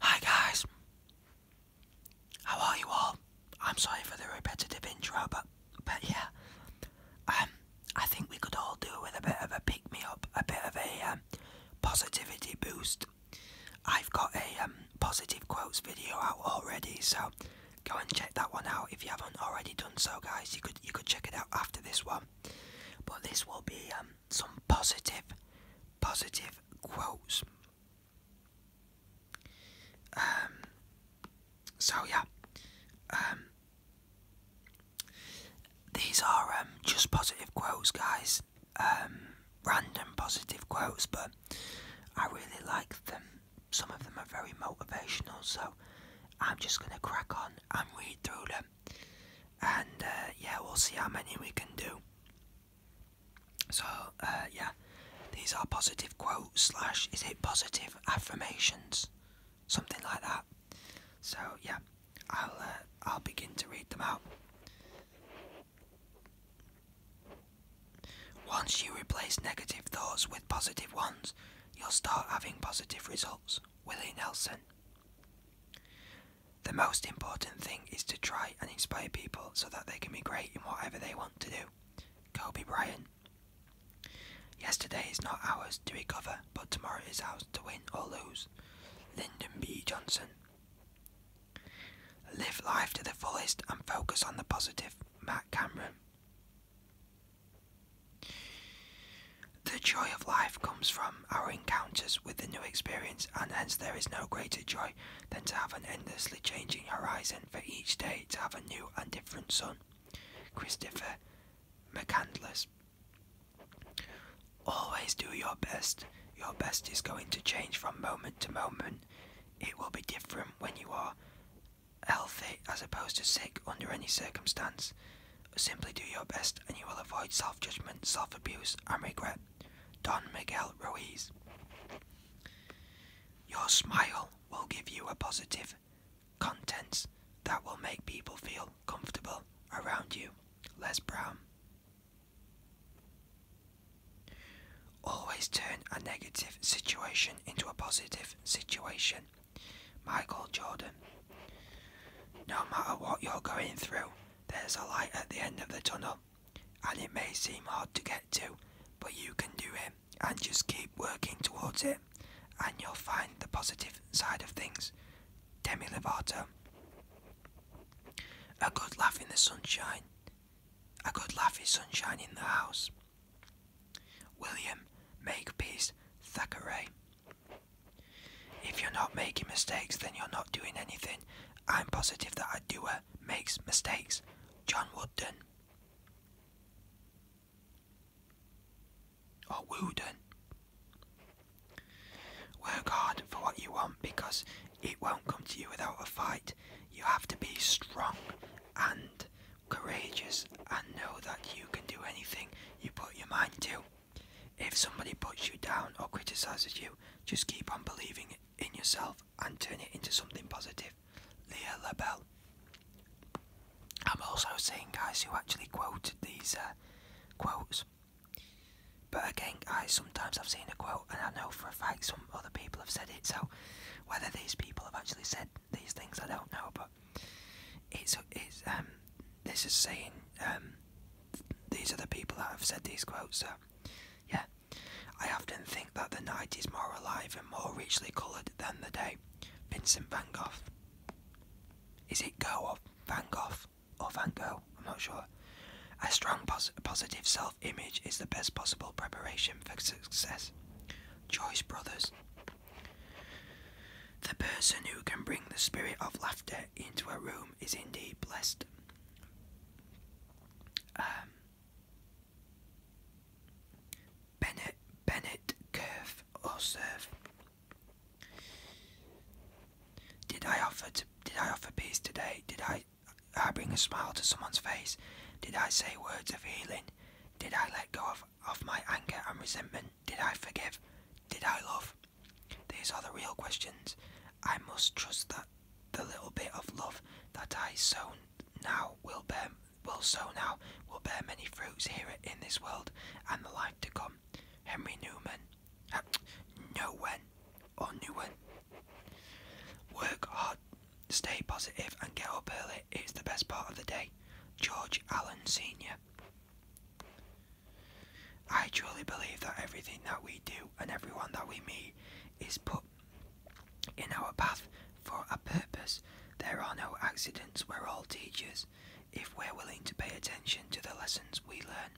Hi guys, how are you all? I'm sorry for the repetitive intro, but but yeah, um, I think we could all do with a bit of a pick me up, a bit of a um, positivity boost. I've got a um, positive quotes video out already, so go and check that one out if you haven't already done so, guys. You could you could check it out after this one, but this will be um, some positive, positive quotes. Um, so yeah, um, these are um, just positive quotes, guys. random positive quotes, but I really like them. Some of them are very motivational, so I'm just gonna crack on and read through them and uh, yeah, we'll see how many we can do. So uh, yeah, these are positive quotes slash is it positive affirmations, something like that. So yeah, I'll uh, I'll begin to read them out. Once you replace negative thoughts with positive ones, you'll start having positive results. Willie Nelson. The most important thing is to try and inspire people so that they can be great in whatever they want to do. Kobe Bryant. Yesterday is not ours to recover, but tomorrow is ours to win or lose. Lyndon B. Johnson. Live life to the fullest and focus on the positive. Matt Cameron. The joy of life comes from our encounters with the new experience, and hence there is no greater joy than to have an endlessly changing horizon for each day, to have a new and different sun. Christopher McCandless. Always do your best. Your best is going to change from moment to moment. It will be different when you are healthy as opposed to sick under any circumstance. Simply do your best and you will avoid self judgment, self abuse, and regret. Don Miguel Ruiz. Your smile will give you a positive contents that will make people feel comfortable around you. Les Brown. Always turn a negative situation into a positive situation. Michael Jordan. No matter what you're going through, there's a light at the end of the tunnel, and it may seem hard to get to, but you can do it and just keep working towards it, and you'll find the positive side of things. Demi Lovato. A good laugh in the sunshine. A good laugh is sunshine in the house. William make peace, Thackeray. If you're not making mistakes, then you're not doing anything. I'm positive that a doer makes mistakes. John Wooden. Or Wooden. Work hard for what you want because it won't come to you without a fight. You have to be strong and courageous, and know that you can do anything you put your mind to. If somebody puts you down or criticizes you, just keep on believing in yourself and turn it into something positive. Leah LaBelle. I'm also seeing guys who actually quoted these uh, quotes. But again, I sometimes I've seen a quote and I know for a fact some other people have said it, so whether these people have actually said these things, I don't know, but it's it's um this is saying um these are the people that have said these quotes. So yeah, I often think that the night is more alive and more richly coloured than the day. Vincent Van Gogh. Is it Go or Van Gogh or Van Gogh? I'm not sure. A strong positive self-image is the best possible preparation for success. Joyce Brothers. The person who can bring the spirit of laughter into a room is indeed blessed. Um, Bennett, Bennett, Curve, or Serve. Did I offer? To, did I offer peace today? Did I? I bring a smile to someone's face. Did I say words of healing? Did I let go of of my anger and resentment? Did I forgive? Did I love? These are the real questions. I must trust that the little bit of love that I sown now will bear will sow now will bear many fruits here in this world and the life to come. Henry Newman. Uh, Nowen or Newen. Work hard Stay positive and get up early. It's the best part of the day. George Allen Sr. I truly believe that everything that we do and everyone that we meet is put in our path for a purpose. There are no accidents, we're all teachers if we're willing to pay attention to the lessons we learn.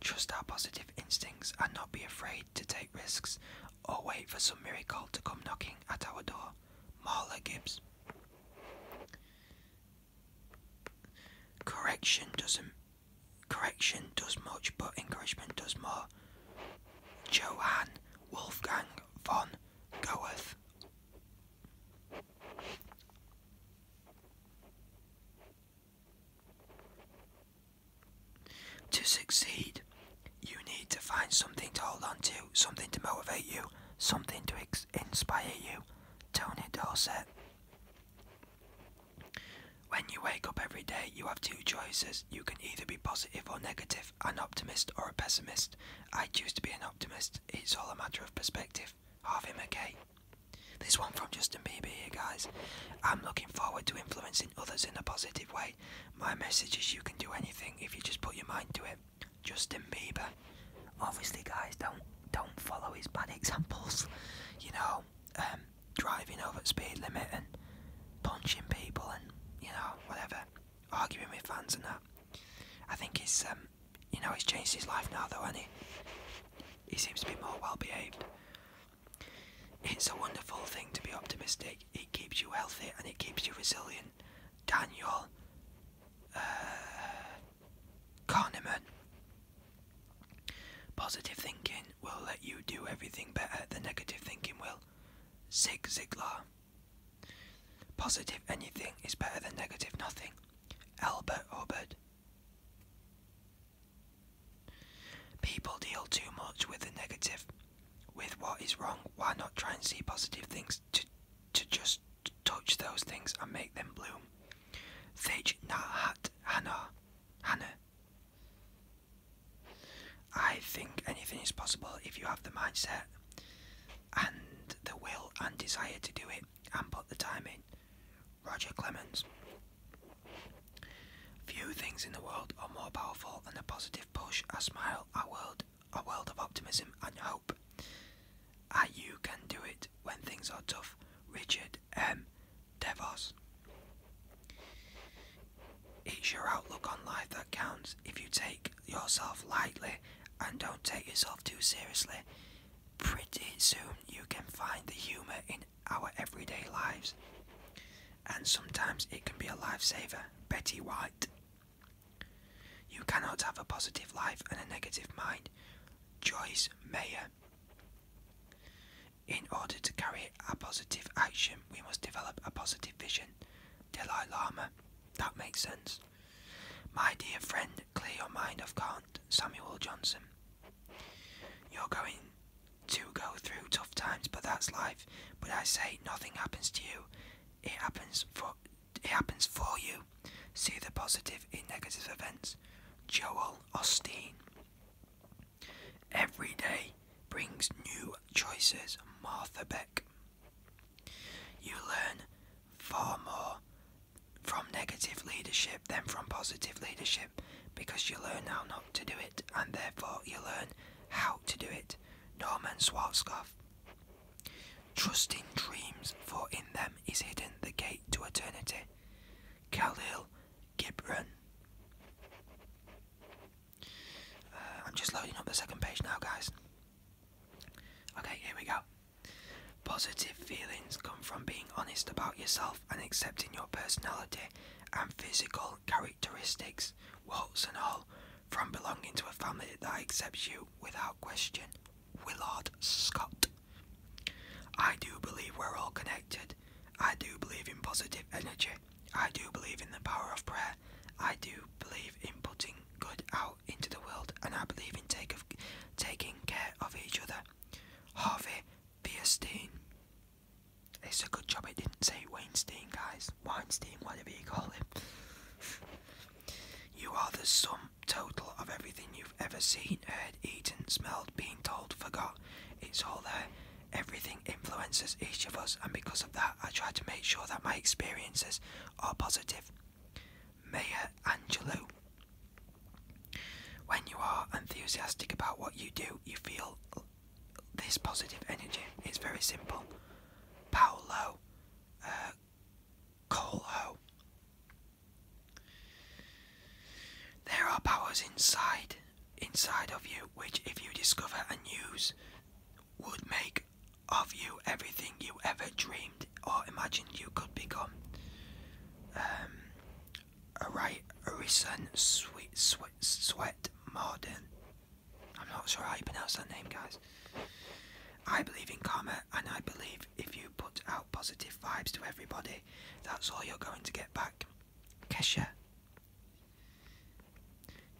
Trust our positive instincts and not be afraid to take risks or wait for some miracle to come knocking at our door. Marla Gibbs. Correction doesn't. Correction does much, but encouragement does more. Johann Wolfgang von Goethe. To succeed, you need to find something to hold on to, something to motivate you, something to inspire you. Tony Dorset. When you wake up every day, you have two choices. You can either be positive or negative, an optimist or a pessimist. I choose to be an optimist. It's all a matter of perspective. Harvey McKay. This one from Justin Bieber guys. I'm looking forward to influencing others in a positive way. My message is you can do anything if you just put your mind to it. Justin Bieber. Obviously, guys, don't don't follow his bad examples. You know, um, driving over the speed limit and punching people and you know whatever, arguing with fans and that. I think he's um, you know he's changed his life now though, and he he seems to be more well behaved. It's a wonderful thing to be optimistic. It keeps you healthy and it keeps you resilient. Daniel uh, Kahneman. Positive thinking will let you do everything better than negative thinking will. Zig Ziglar. Positive anything is better than negative nothing. Albert Hubbard. People deal too much with the negative, with what is wrong. Why not try and see positive things to, to just touch those things and make them bloom? Thij Nahat Hannah. Hannah. I think anything is possible if you have the mindset and the will and desire to do it and put the time in. Roger Clemens. Few things in the world are more powerful than a positive push, a smile, a world, a world of optimism and hope. Ah, you can do it when things are tough. Richard M. Devos. It's your outlook on life that counts. If you take yourself lightly and don't take yourself too seriously, pretty soon you can find the humour in our everyday lives, and sometimes it can be a lifesaver. Betty White. You cannot have a positive life and a negative mind. Joyce Mayer. In order to carry a positive action, we must develop a positive vision. Dalai Lama. That makes sense. My dear friend, clear your mind of cant. Samuel Johnson. You're going to go through tough times, but that's life. But I say nothing happens to you. It happens for it happens for you. See the positive in negative events. Joel Osteen. Every day brings new choices. Martha Beck. You learn far more from negative leadership than from positive leadership because you learn how not to do it, and therefore you learn how to do it. Norman Schwarzkopf. Trust in dreams, for in them is hidden the gate to eternity. Khalil Gibran. Uh, I'm just loading up the second page now, guys. Okay, here we go. Positive feelings come from being honest about yourself and accepting your personality and physical characteristics, warts and all, from belonging to a family that accepts you without question. Willard Scott. I do believe we're all connected. I do believe in positive energy. I do believe in the power of prayer. I do believe in putting good out into the world, and I believe in take taking care of each other. Harvey Beerstein. It's a good job it didn't say Weinstein, guys. Weinstein, whatever you call him. you are the sum total of everything you've ever seen, heard, eaten, smelled, been told, forgot. It's all there. Everything influences each of us, and because of that, I try to make sure that my experiences are positive. Maya Angelou. When you are enthusiastic about what you do, you feel this positive energy. It's very simple. Paulo uh, Coelho. There are powers inside inside of you which if you discover and use would make of you everything you ever dreamed or imagined you could become. Um, Alright, Arisen Sweet sweet, sweet Marden. I'm not sure how you pronounce that name, guys. I believe in karma, and I believe if you put out positive vibes to everybody, that's all you're going to get back. Kesha.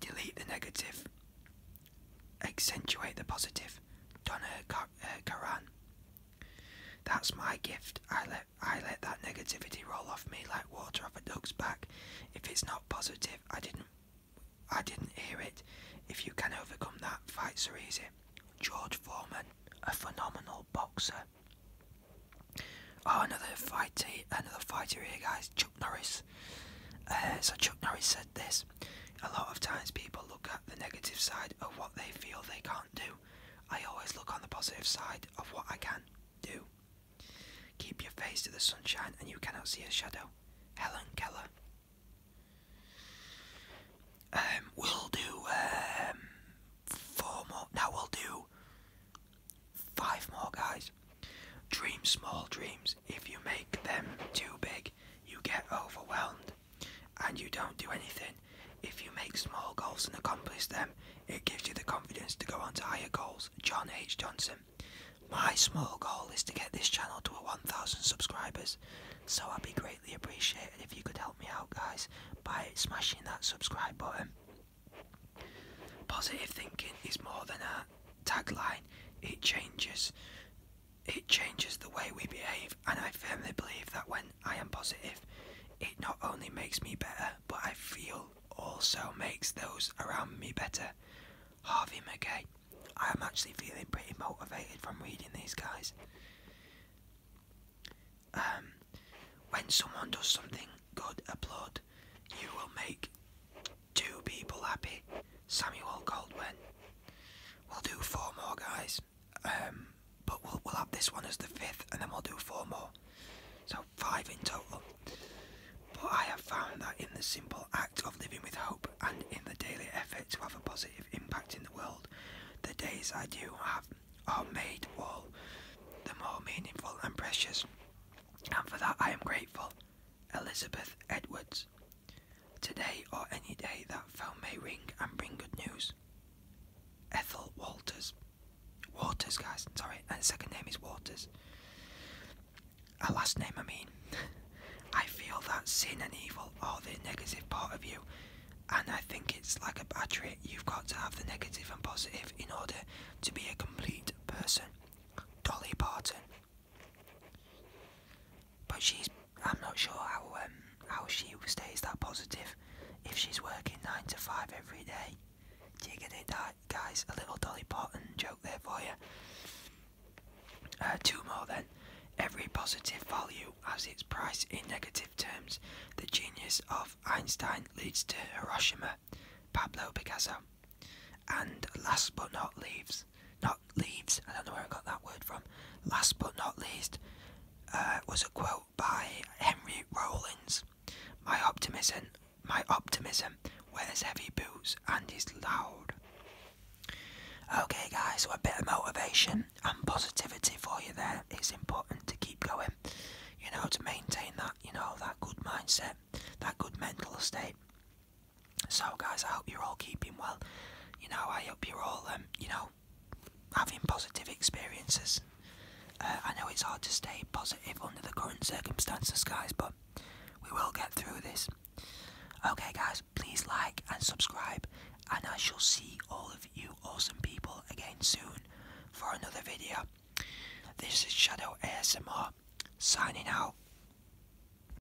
Delete the negative. Accentuate the positive. Donna uh, Karan. That's my gift. I let I let that negativity roll off me like water off a duck's back. If it's not positive, I didn't I didn't hear it. If you can overcome that, fights are easy. George Foreman, a phenomenal boxer. Oh, another fighter, another fighter here, guys. Chuck Norris. Uh, so Chuck Norris said this. A lot of times people look at the negative side of what they feel they can't do. I always look on the positive side of what I can do. Keep your face to the sunshine and you cannot see a shadow. Helen Keller. Um, we'll do um, four more. Now we'll do five more, guys. Dream small dreams. If you make them too big, you get overwhelmed and you don't do anything, if you make small goals and accomplish them, it gives you the confidence to go on to higher goals. John H. Johnson. My small goal is to get this channel to a 1,000 subscribers, so I'd be greatly appreciated if you could help me out, guys, by smashing that subscribe button. Positive thinking is more than a tagline, it changes it changes the way we behave, and I firmly believe that when I am positive, it not only makes me better, but I feel also makes those around me better. Harvey McKay. I am actually feeling pretty motivated from reading these guys. Um, when someone does something good, applaud. You will make two people happy. Samuel Goldwyn. We'll do four more, guys. Um, but we'll, we'll have this one as the fifth, and then we'll do four more. So five in total. But I have found that in the simple act of living with hope and in the daily effort to have a positive impact in the world, the days I do have are made all the more meaningful and precious. And for that I am grateful. Elizabeth Edwards. Today or any day that phone may ring and bring good news. Ethel Walters. Walters. guys, sorry, and second name is Waters. Her last name, I mean. I feel that sin and evil are the negative part of you, and I think it's like a battery. You've got to have the negative and positive in order to be a complete person. Dolly Barton, But she's I'm not sure how um, how she stays that positive if she's working nine to five every day. Do you get it, guys? A little dolly pot and joke there for you. Uh, two more then. Every positive value has its price in negative terms. The genius of Einstein leads to Hiroshima, Pablo Picasso. And last but not least, not leaves. I don't know where I got that word from. Last but not least, uh, was a quote by Henry Rollins. My optimism, my optimism wears heavy boots and is loud. Okay, guys, so a bit of motivation and positivity for you there. It's important to keep going, you know, to maintain that, you know, that good mindset, that good mental state. So, guys, I hope you're all keeping well. You know, I hope you're all, um, you know, having positive experiences. Uh, I know it's hard to stay positive under the current circumstances, guys, but we will get through this. Okay, guys, please like and subscribe, and I shall see all of you awesome people again soon for another video. This is Shadow ASMR signing out.